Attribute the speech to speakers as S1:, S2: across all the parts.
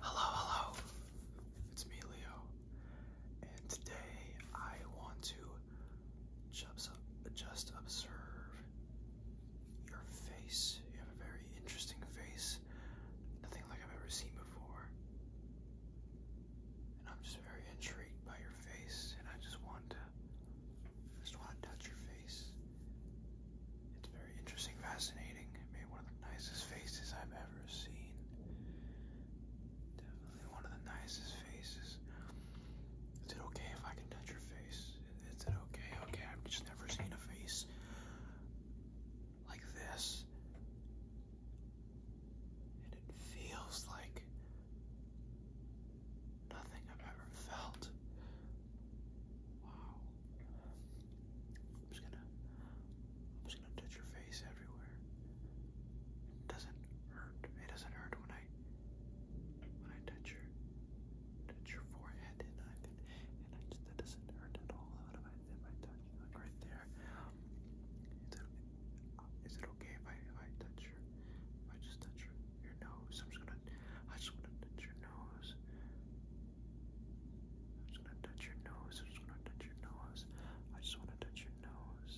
S1: Hello, hello. It's me, Leo. And today I want to just, just observe your face. You have a very interesting face, nothing like I've ever seen before. And I'm just very intrigued by your face, and I just want to, I just want to touch your face. It's very interesting, fascinating. Maybe one of the nicest faces I've ever seen. Definitely one of the nicest faces. Is it okay if I can touch your face? Is it okay? Okay, I've just never seen a face like this. And it feels like nothing I've ever felt. Wow, I'm just gonna, I'm just gonna touch your face everywhere. It doesn't hurt. It doesn't hurt when I, when I touch your, touch your forehead, and I, and I just that doesn't hurt at all. What if I, if I touch like right there? Is it, is it okay if I, I touch your, if I just touch your, your nose? I'm just gonna, I just wanna touch your nose i just want to touch your nose. i just want to touch your nose. I just wanna touch your nose.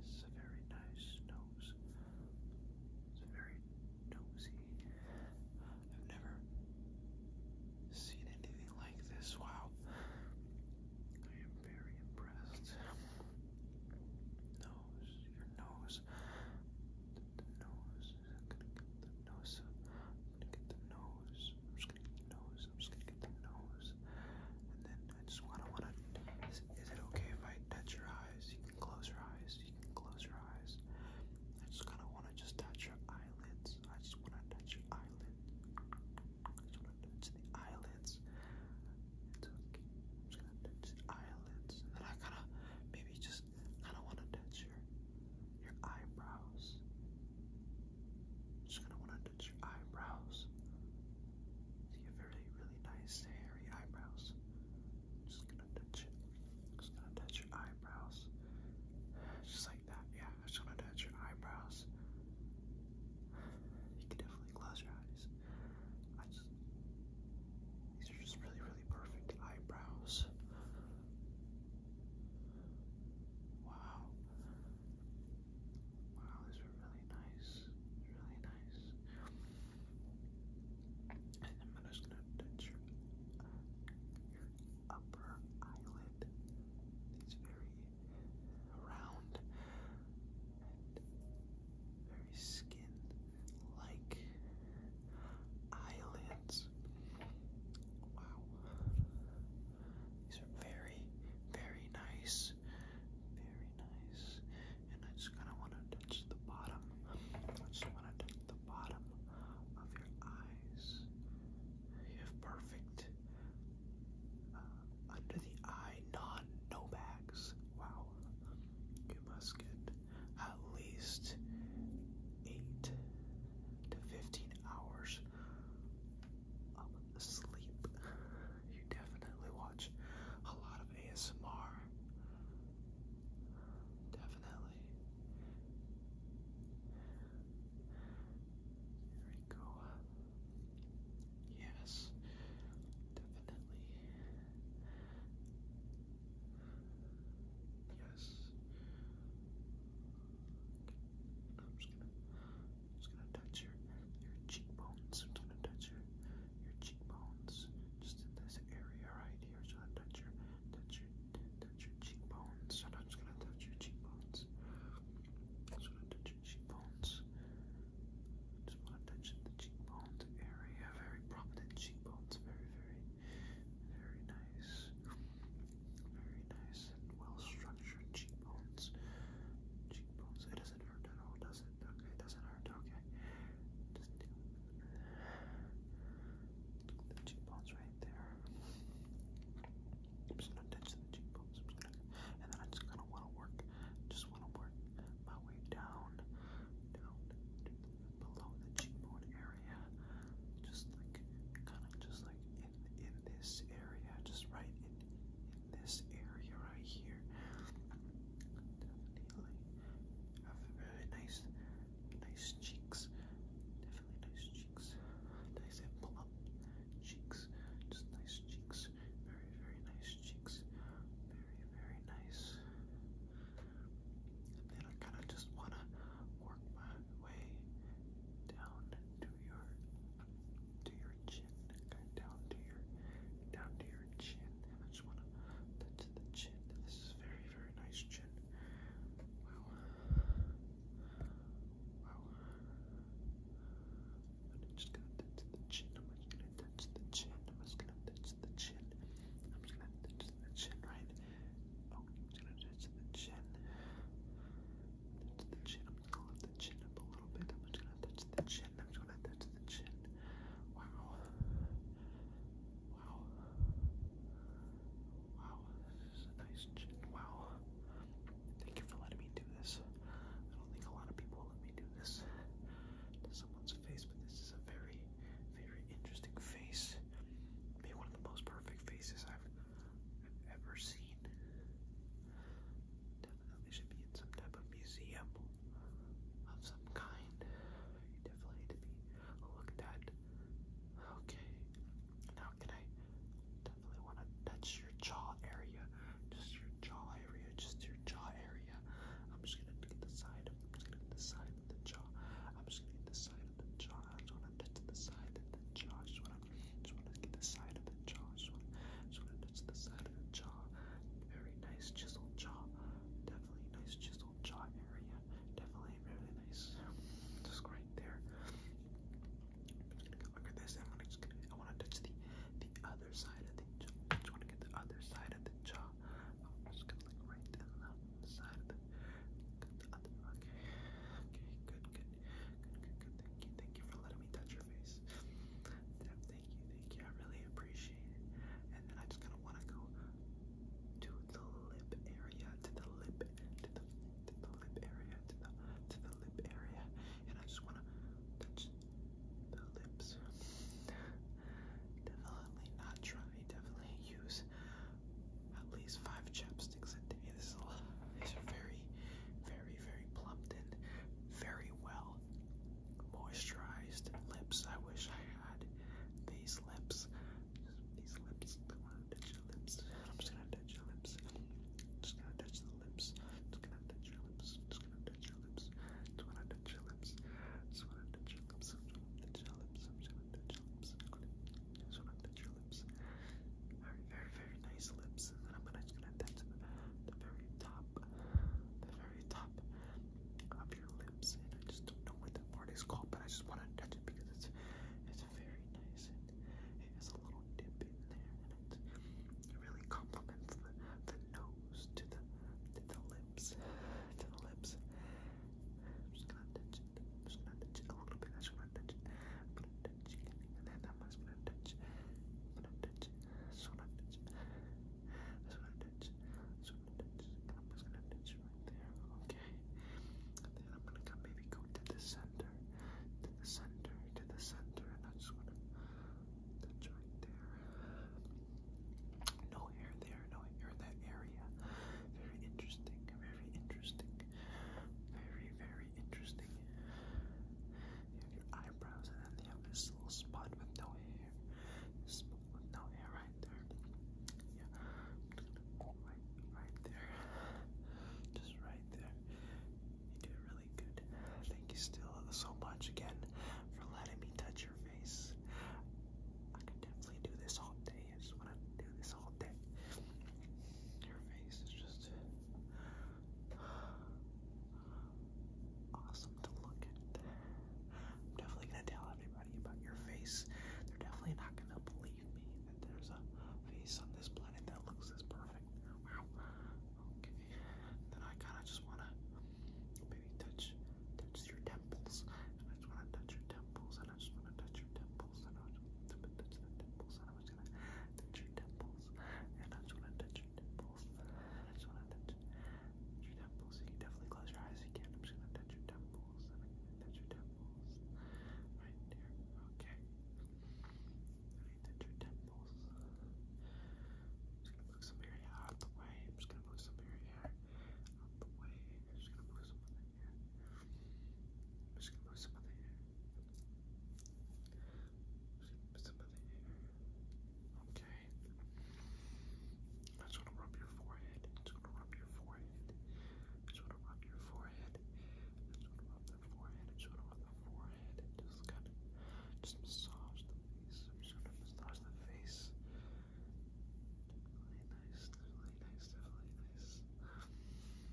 S1: This is a very nice nose. It's very nosy. I've never seen anything like this. Wow. I am very impressed. Nose, your nose. the nose. I'm gonna get the nose. I'm gonna get the nose nose. I'm just gonna get the nose. I'm just gonna get the nose. And then I just wanna wanna is, is it okay if I touch your eyes? You can close your eyes. You can close your eyes. I just kinda wanna just touch your eyelids. I just wanna touch your eyelids. I just wanna touch the eyelids. It's okay. I'm just gonna touch the eyelids. And then I kinda maybe just kinda wanna touch your your eyebrows. Just gonna want to touch your eyebrows. See, you have really, really nice hairy eyebrows. Just gonna touch it. Just gonna touch your eyebrows. Just like that, yeah. Just gonna touch your eyebrows. You can definitely close your eyes. I just these are just really, really perfect eyebrows. Wow. Wow, these were really nice. Really nice. And I'm just gonna touch your, your upper eyelid. It's very round and very skin-like eyelids. Wow. These are very, very nice. Very nice. And I just kind of want to touch the bottom. I just want to touch the bottom of your eyes. You have perfect. Uh, under the eye, non no bags. Wow. You must get at least 8 to 15 hours of asleep. You definitely watch a lot of ASMR. Definitely. There we go. Yes, definitely. Yes. I'm just gonna, just gonna touch your, your cheekbones. I'm just gonna touch your, your cheekbones, just in this area right here. So I touch your, touch your, touch your cheekbones. And I'm just gonna touch your cheekbones. I'm just touch your cheekbones. Just wanna touch the cheekbones area. Very prominent cheekbones. Very, very, very nice. Very nice and well structured cheekbones. Cheekbones. It doesn't hurt at all, does it? Okay, doesn't hurt. Okay. Just the cheekbones right there. just gonna touch the cheekbones. I'm just gonna, want to work. Just want to work my way down, down below the cheekbone area. Just like, kind of, just like in this area, just right in in this area right here. Definitely have really nice, nice cheeks. Definitely nice cheeks. Nice and plump cheeks. Just nice cheeks. Very very nice cheeks. Very very nice. And then I kind of just wanna work my way down to your to your chin. down to your down to your chin. I just wanna touch the chin. This is very, very nice chin. Wow. Wow. I'm just gonna touch the chin. I'm just gonna touch the chin. I'm just gonna touch the chin. I'm just gonna touch the chin, right? Oh, I'm just gonna touch the chin touch the chin. I'm gonna lift the chin up a little bit. I'm just gonna touch the chin. I'm just gonna touch the chin. Wow. Wow. Wow. This is a nice chin. Wow. Thank you for letting me do this. I don't think a lot of people will let me do this to someone's face, but this is a very, very interesting face. Maybe one of the most perfect faces I've I've ever seen. Definitely should be in some type of museum of some kind. You definitely need to be looked at. Okay, now can I definitely want to touch your jaw area? Just your jaw area, just your jaw area. I'm just gonna get the side. I'm just gonna get the side of the jaw. I'm just gonna get the side of the jaw. I just want to touch the side of the jaw. just want to, just want to get the side of the jaw. just want, to touch the side of the jaw. Very nice chiseled jaw. Definitely nice chiseled jaw area. Definitely really nice. Just right there. look at this. I'm gonna just I want to touch the the other side of the jaw. just want to get the other side of the jaw. just gonna look right down the side of The other, okay, okay, good, good. Thank you, thank you for letting me touch your face. thank you, thank you. I really appreciate it. And then I just kind of want to go to the lip area, to the lip, to the, to the lip area, to the, to the lip area. And I just want to touch the lips. Definitely not try. Definitely use at least five chapsticks a day. These are very, very, very plumped and very well moisturized lips. I wish I had these lips. These lips. I am just gonna touch your lips. Just gonna touch the lips. Just gonna touch your lips. Just gonna touch your lips. Just wanna touch your lips. Just wanna touch your lips. Just wanna touch your lips. Just want to touch your lips. Just want to touch your lips. Very, very, very nice lips. And then I'm gonna, just gonna touch the, very top, the very top of your lips. And I just don't know what that part is called, but I just want to touch it because it's it's very nice and it has a little dip in there, and it really complements the the nose to the to the lips to the lips. just gonna touch it. just gonna touch it a little bit. just wanna touch it touch, and then that one's gonna touch, gonna touch, so gonna touch, so gonna touch, so gonna touch, I'm gonna touch right there, okay? And then I'm gonna maybe go to the center, to the center, to the center, and I just wanna touch right there. No hair there, no hair in that area. Very interesting, very interesting. Very, very interesting. You have your eyebrows, and then you have this little spot with no hair. This spot with no hair right there. Yeah, right, right there. Just right there. You did really good. Thank you still so much again for letting me touch your face. I could definitely do this all day. I just want to do this all day. Your face is just awesome to look at. I'm definitely gonna tell everybody about your face. They're definitely not gonna believe me that there's a face on this planet that looks this perfect. Okay. Then I kinda just wanna maybe touch touch your temples. I just wanna touch your temples and I just wanna touch your temples and I just wanna touch the temples and I'm gonna touch your temples. And I just wanna touch your temples. I just wanna touch your temples. You definitely close your eyes again. I'm just gonna touch your temples I'm gonna touch your temples. Right there. Okay. I need to touch your temples. I'm just gonna move some area out the way. I'm just gonna move some area out the way. I'm just gonna move some of hair. I'm just gonna move some of hair. Okay. I just want to rub your forehead. I just want to rub your forehead. I just want to rub your forehead. I just want to rub the forehead. I just want to rub the forehead. just kind of just massage the face. I'm just going to massage the face. Really nice, really nice, really nice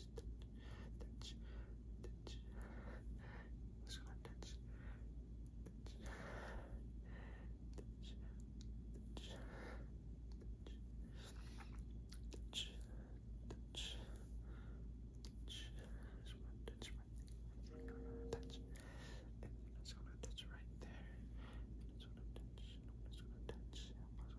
S1: touch, touch, touch. I'm just gonna touch, touch, touch, touch, touch, touch, touch. Just wanna touch right there. I'm touch, and then I'm just gonna touch right there. And I'm just gonna touch. And I'm just gonna touch. And I'm just gonna touch.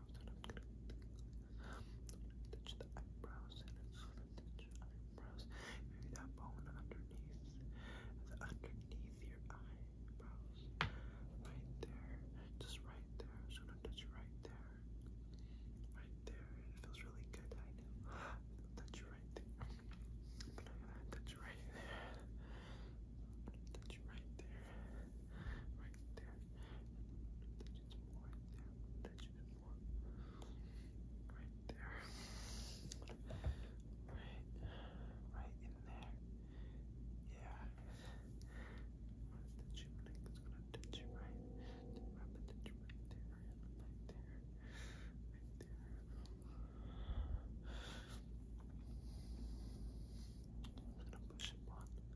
S1: and I'm gonna, touch the eyebrows and I'm gonna touch your eyebrows. Maybe that bone underneath, the underneath your eyebrows, right there, just right there. I'm gonna touch you right there, right there. It feels really good, I know. touch right there, but I'm gonna touch right there. Touch right there right there. That's just more there. That's just more right there. Right, right in there. Yeah. touch you, like it's gonna touch you right. touch right there, right there, right there. I'm gonna push it on.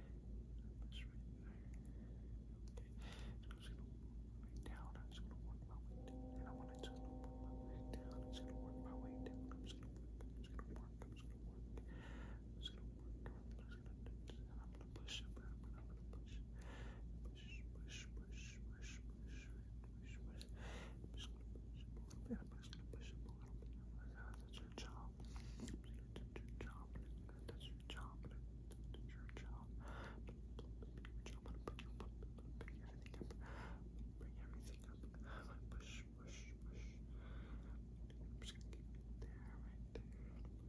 S1: That's right there. Okay. I'm just gonna move my way down. I'm just gonna work my way down. And I wanna just gonna work my way down. I'm just gonna work my way down. I'm just gonna work. I'm just gonna work. I'm just gonna work. I'm just gonna work. I'm just gonna do this. And I'm gonna push up. I'm gonna, I'm gonna push. Push, push, push, push, push, push, push. I'm just gonna push up a little bit. I'm just gonna push up a little bit. Oh my god, that's your job. That's your job. That's your job. Bring everything up. Bring everything up. Push, push, push. I'm just gonna keep it there, right there.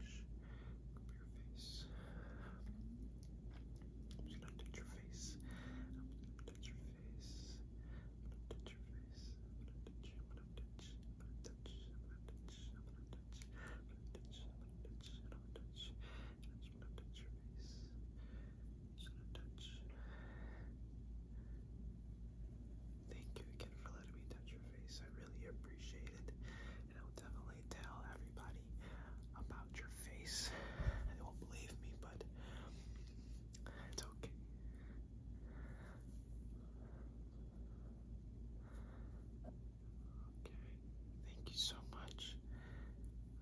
S1: Push. Up your face. I'm just gonna touch your face. I'm gonna touch your face. I'm gonna touch your face. I'm gonna touch your I'm gonna touch, I'm gonna touch, I'm gonna touch, I'm gonna touch, I'm gonna touch, I'm gonna touch your face. I'm gonna touch. Thank you again for letting me touch your face. I really appreciate it. And I'll definitely tell everybody about your face. They won't believe me, but it's okay. Okay, thank you so much.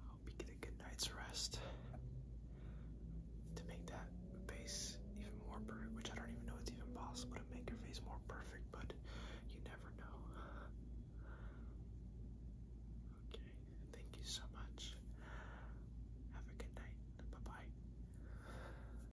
S1: I hope you get a good night's rest. To make that face even more perfect, which I don't even know it's even possible to make your face more perfect, but you never know. Okay, thank you so much. Have a good night. Bye bye.